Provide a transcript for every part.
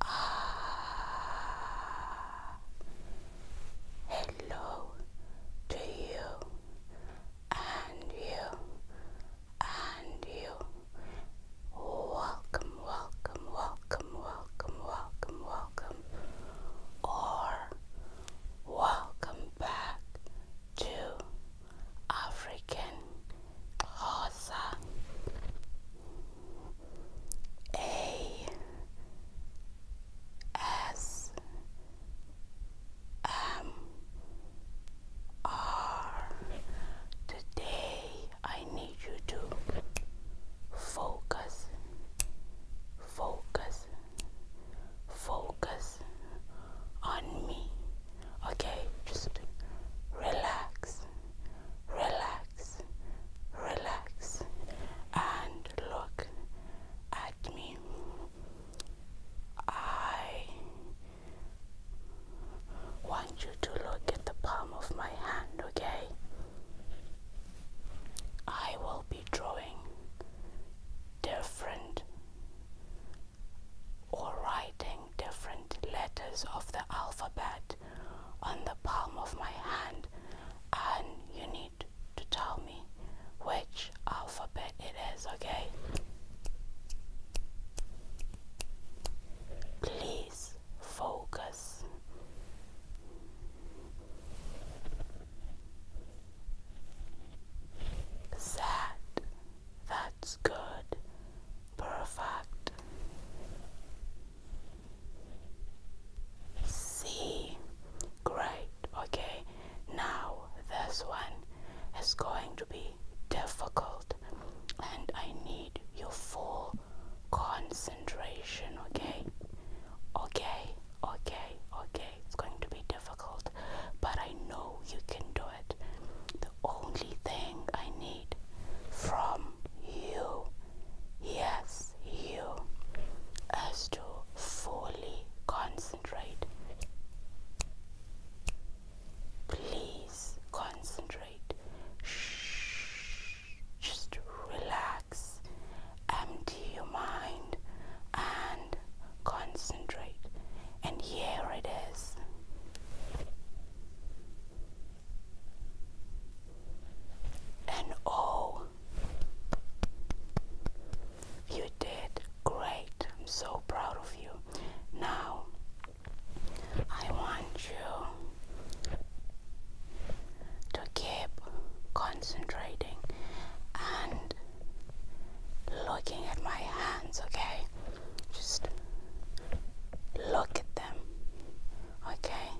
Ah, hello to you and you and you. Welcome, welcome, welcome, welcome, welcome, welcome, or welcome back to African Hosa a S M R. Today, I need you to focus, focus, focus on me. Okay, just relax relax, relax, and look at me. I want you to look at the palm of my hand, okay? I will be drawing different or writing different letters of the alphabet on the palm of my hand, and you need to tell me which alphabet it is, okay? Please focus. Sad. That's good. Perfect. See, great. Okay, now this one is going to be difficult, and I need your full concentration. Okay, okay, okay, okay. It's going to be difficult, but I know you can do it. The only thing I need from you, yes, you as to fully concentrate. Please concentrate. Shh. Just relax, empty your mind, and concentrate. And here it is and oh, you did great. I'm so proud of you. Now, I want you to keep concentrating and looking at my hands, okay? Just look at them, okay?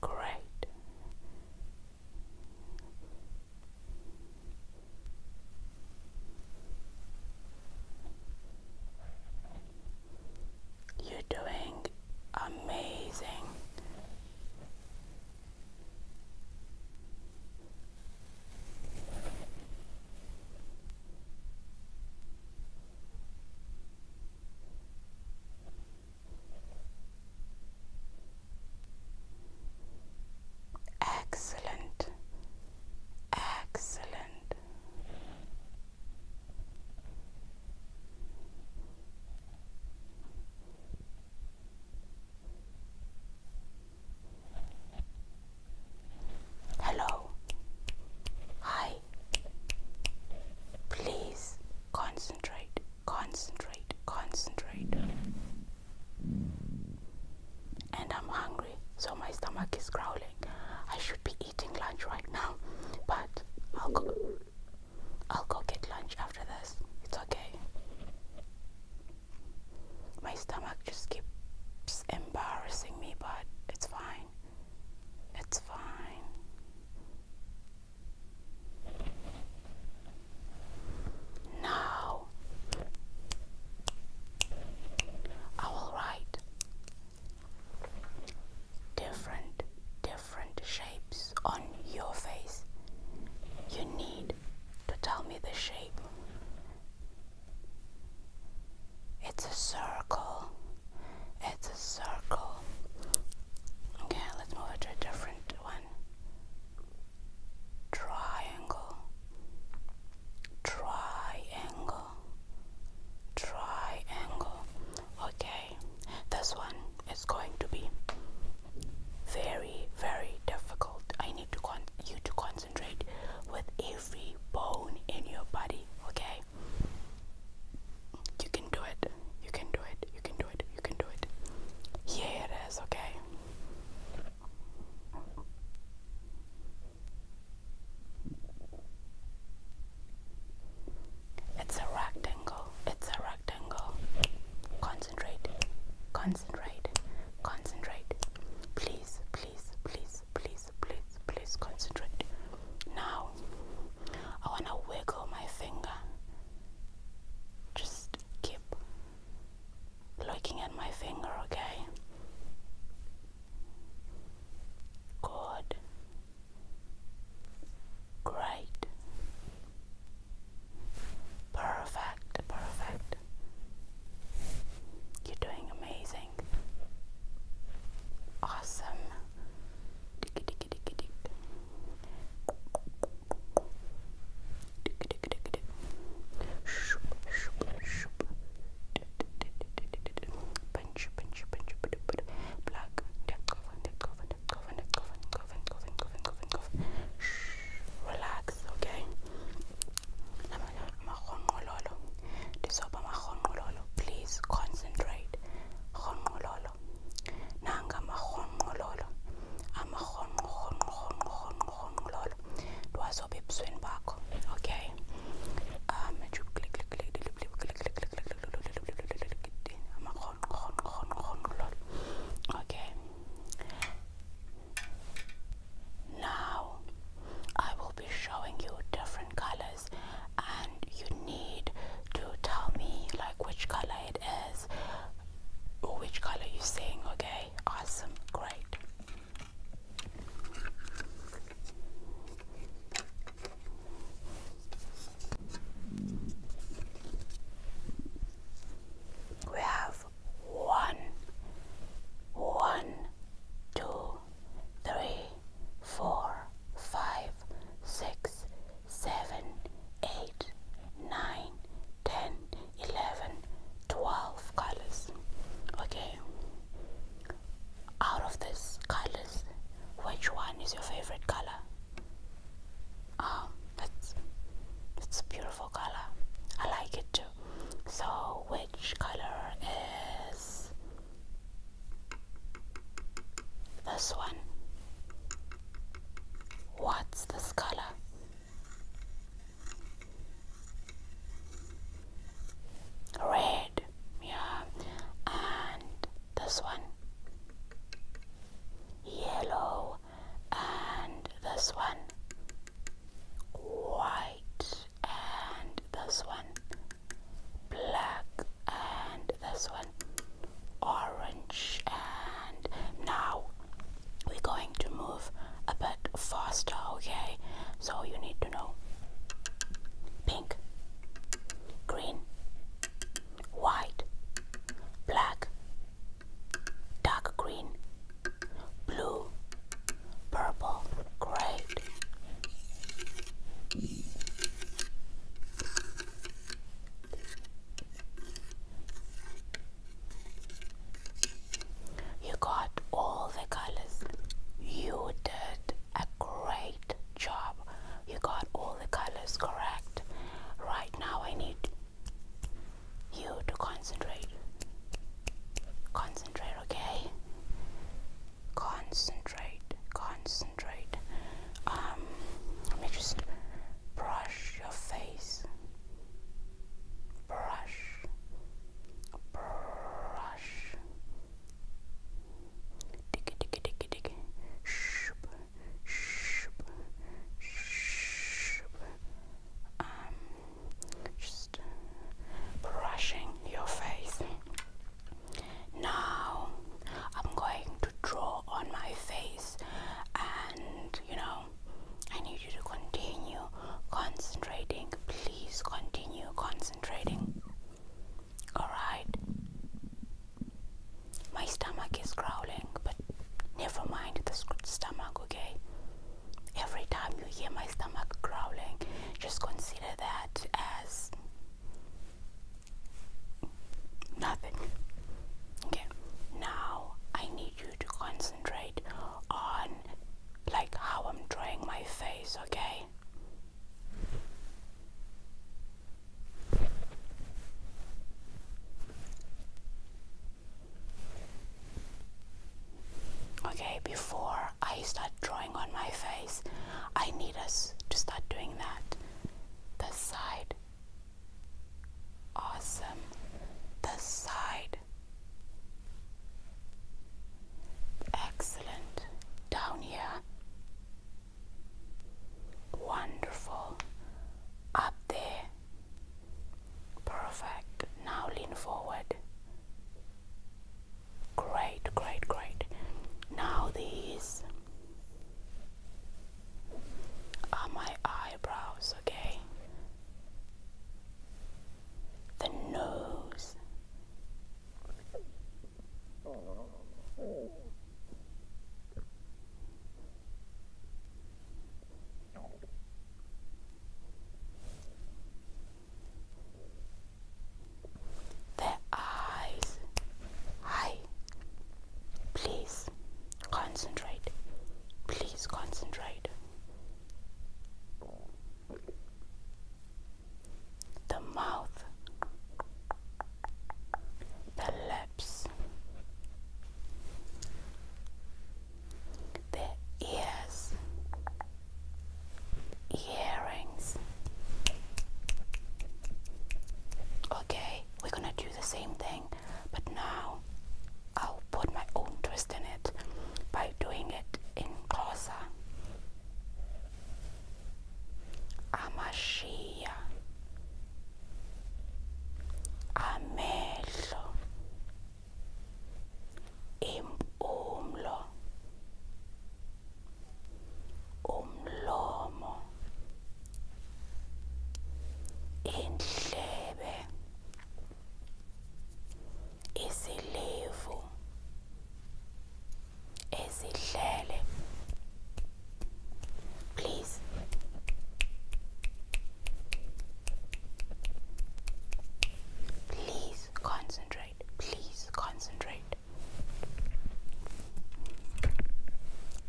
Great. You're doing amazing. Excellent. Excellent. Hello. Hi. Please Concentrate, concentrate, concentrate. And I'm hungry, so my stomach is growling. I should be eating lunch right now, but I'll go. I'll go get lunch after this. It's okay. My stomach just keeps embarrassing me, but it's fine. It's fine. Now I will write different different shapes on your face. You need to tell me the shape. It's a circle. It's a circle. Okay, let's move it to a different one. Triangle, triangle, triangle. Okay, this one is going to be very, very difficult. I need to con you to concentrate with every bone in your body. Okay, you can do it. You can do it. You can do it. You can do it. Here it is, okay? It's a rectangle. It's a rectangle. Concentrate. Concentrate. Concentrate. Please, please, please, please, please, please concentrate. Now I want to wiggle my finger. Just keep looking at my finger, okay? Good. Great. Perfect, perfect. You're doing amazing. Awesome. Relax, okay? Please concentrate nangamahonqololo amahonqololo wazobe ebusweni bakho okay um okay now i will be showing you different colors and you need to tell me like which color it is or which color you're seeing okay awesome great we have one, one, two, three, four, five, six, 7, colors. Okay, out of these colors, which one is your favorite color? Um, it's, it's a beautiful color. I like it too. So, which color is this one. What's this color? Red. Yeah. And this one. Yellow. And this one. White. And this one. Black. And this one orange and now we're going to move a bit faster okay so you need to know pink green white black dark green blue purple great you got all the colors. You did a great job. You got all the colors correct. Right now, I need you to concentrate. Concentrate, okay? Concentrate, concentrate concentrate. Um, let me just brush your face. Brush. Brush. Diggy, diggy, diggy, diggy. Shoop, shoop, shoop. Um, just brushing your face. Now I'm going to draw on my face and you know I need you to continue concentrating please continue concentrating alright my stomach is growling but never mind the stomach okay every time you hear my stomach growling just consider that as Nothing. Okay, now I need you to concentrate on like how I'm drawing my face, okay? Okay, before I start drawing on my face, I need us to start doing that. This side, Awesome. The side. Excellent. Down here. Wonderful. Up there. Perfect. Now lean forward. Great, great, great. Now these are my eyebrows, okay? The nose. The eyes. Hi. Please Concentrate. Please concentrate. The mouth, the lips, the ears, earrings. Okay, we're gonna do the same thing, but now I'll put my own twist in it by doing it in Xhosa. Amashiya Amehlo Impumlo Umlomo indlebe isilevu esidlele please please concentrate please concentrate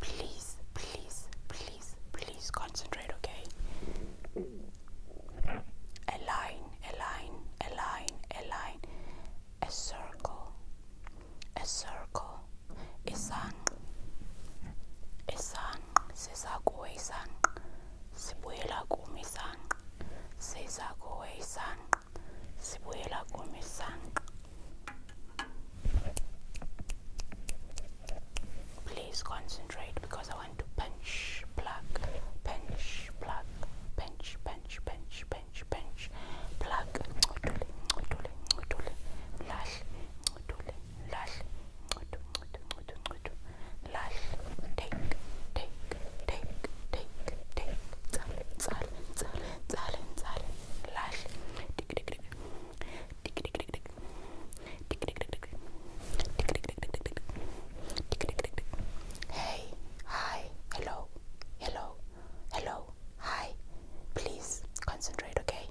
please please please please, please concentrate, okay? A line, a line, a line, a line, a circle, a circle, A a isanqa, siza kuwe isanqa, sibuyela kum isanqa, siza kuwe isanqa, sibuyela kum isanqa. Please concentrate because I want to pinch, pluck, pinch, pluck, pinch, pinch, pinch, pinch, pinch, pluck, lash, lash, lash, take, take, take, take, take, lash, Hey, hi, hello, hello, hello, hi. Please concentrate, okay?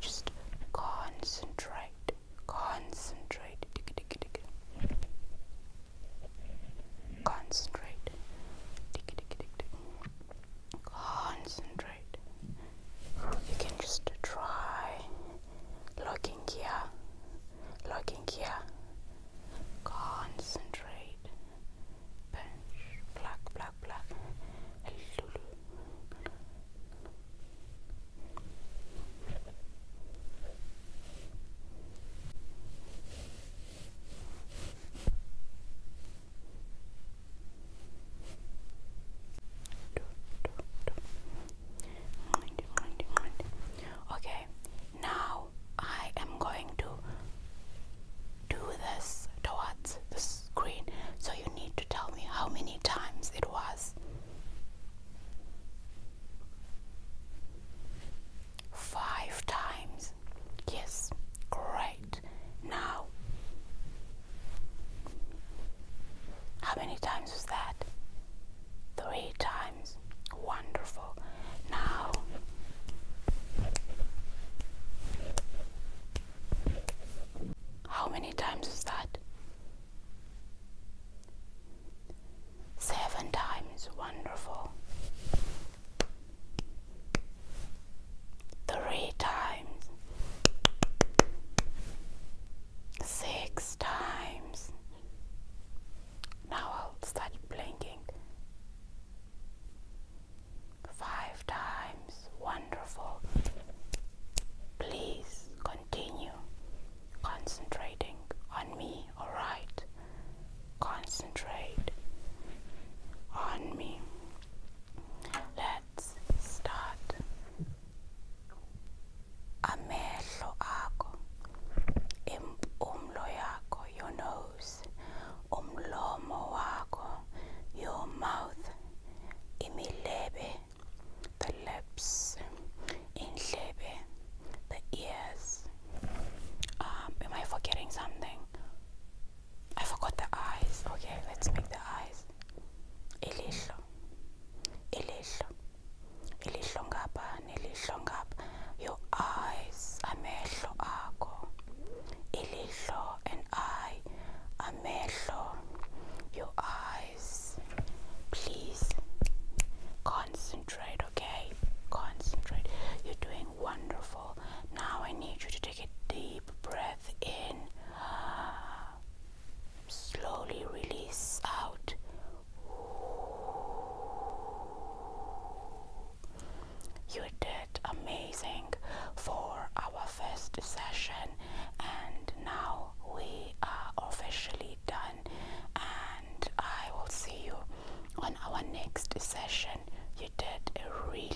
Just concentrate, concentrate, concentrate, concentrate you can just try looking here, looking here, concentrate, bench, black, black, black, Okay, now I am going to do this towards the screen, so you need to tell me how many times it was. Five times. Yes, great now. How many times was that? Three times. Wonderful. Now, how many times is that? Seven times. Wonderful three times, six times. Now I'll start blinking. Five times. Wonderful. Please continue concentrating on me, alright? Concentrate on me. Let let's start amehlo akho impumlo yakho your nose umlomo wakho your mouth imilebe the lips indlebe the ears um, am I forgetting something I forgot the eyes. Okay, let's make the eyes. Ilihlo. Ilihlo. Ilihlo ngapha nelihlo ngapha. Your eyes, amehlo akho. Ilihlo and eye, amehlo. Your eyes. Please concentrate, okay? Concentrate. You're doing wonderful. Now I need you to take a deep breath in slowly release out. You did amazing for our first session, and now we are officially done. And I will see you on our next session. You did a really